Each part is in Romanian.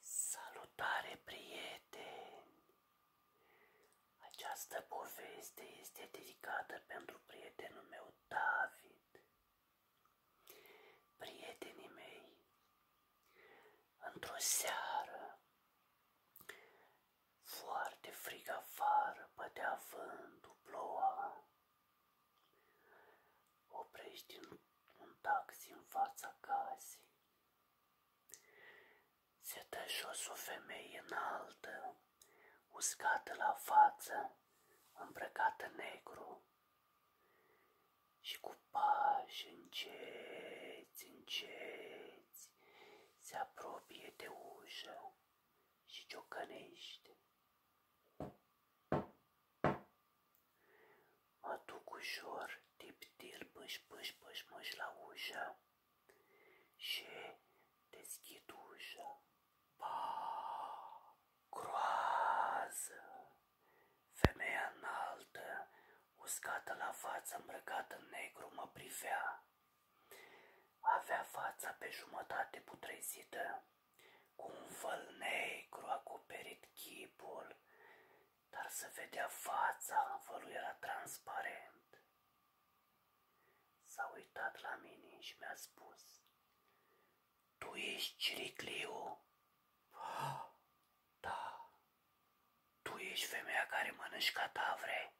Salutare prieteni! Această poveste este dedicată pentru prietenul meu David. Prietenii mei, într-o seară, foarte frig afară, bătea vântul, ploua, Oprești un taxi în fața casei. Se dă jos o femeie înaltă, uscată la față, îmbrăcată negru și cu pași înceți, înceți, se apropie de ușă și ciocănește. Mă duc ușor, tiptil, pâș, pâș, pâș, pâș la ușă și deschid ușa. Pa, groază! Femeia înaltă, uscată la față, îmbrăcată în negru, mă privea. Avea fața pe jumătate putrezită cu un văl negru acoperit chipul, dar se vedea fața, vălul era transparent. S-a uitat la mine și mi-a spus, Tu ești Ciricliu? Ah, da. Tu ești femeia care mănânci cadavre?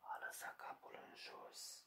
A lăsat capul în jos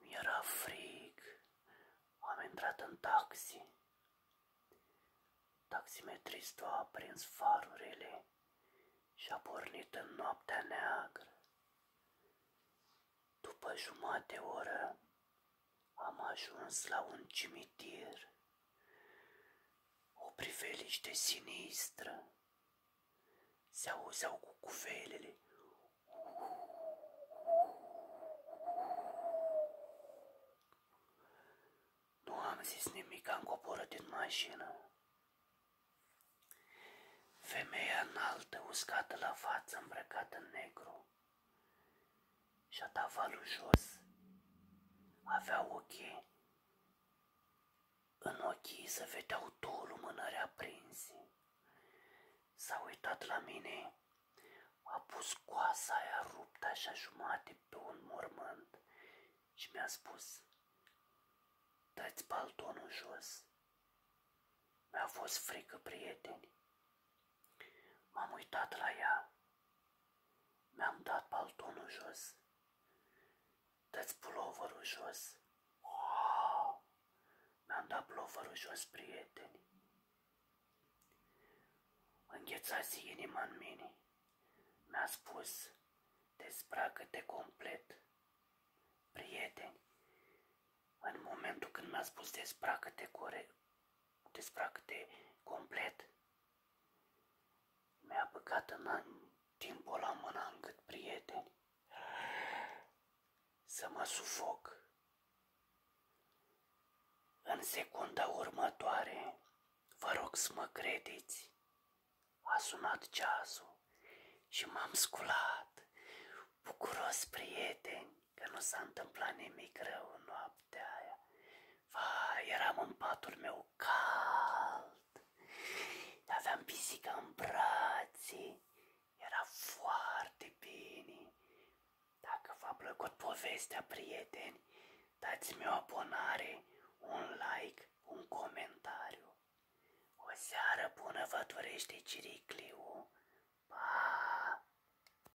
mi Am intrat în taxi. Taximetristul a aprins farurile și a pornit în noaptea neagră. După jumate oră am ajuns la un cimitir, o priveliște sinistră se auzeau cu cuvelele. Nu am zis nimic, am coborât din mașină. Femeia înaltă, uscată la față, îmbrăcată în negru. Și-a dat jos. Avea ochii în ochii se vedeau două lumânări aprinse. S-a uitat la mine, a pus coasa aia ruptă așa jumate pe un mormânt și mi-a spus Dă-ți paltonul jos. Mi-a fost frică, prieteni. M-am uitat la ea. Mi-am dat paltonul jos. Dați puloverul jos. Wow! am dat puloverul jos, prieteni. Înghețați inima în mine. Mi-a spus, dezbracă-te complet. Prieteni, în momentul când mi-a spus dezbracă-te corect, dezbracă-te complet, mi-a băgat în an, timpul la mâna în prieteni, să mă sufoc. În secunda următoare, vă rog să mă credeți, a sunat ceasul și m-am sculat, bucuros prieteni, că nu s-a întâmplat nimic rău noaptea Vai, eram în patul meu cald, aveam pisica în brațe, era foarte bine. Dacă v-a plăcut povestea, prieteni, dați-mi o abonare, un like, un comentariu. O seară bună vă dorește Ciricliu. Pa!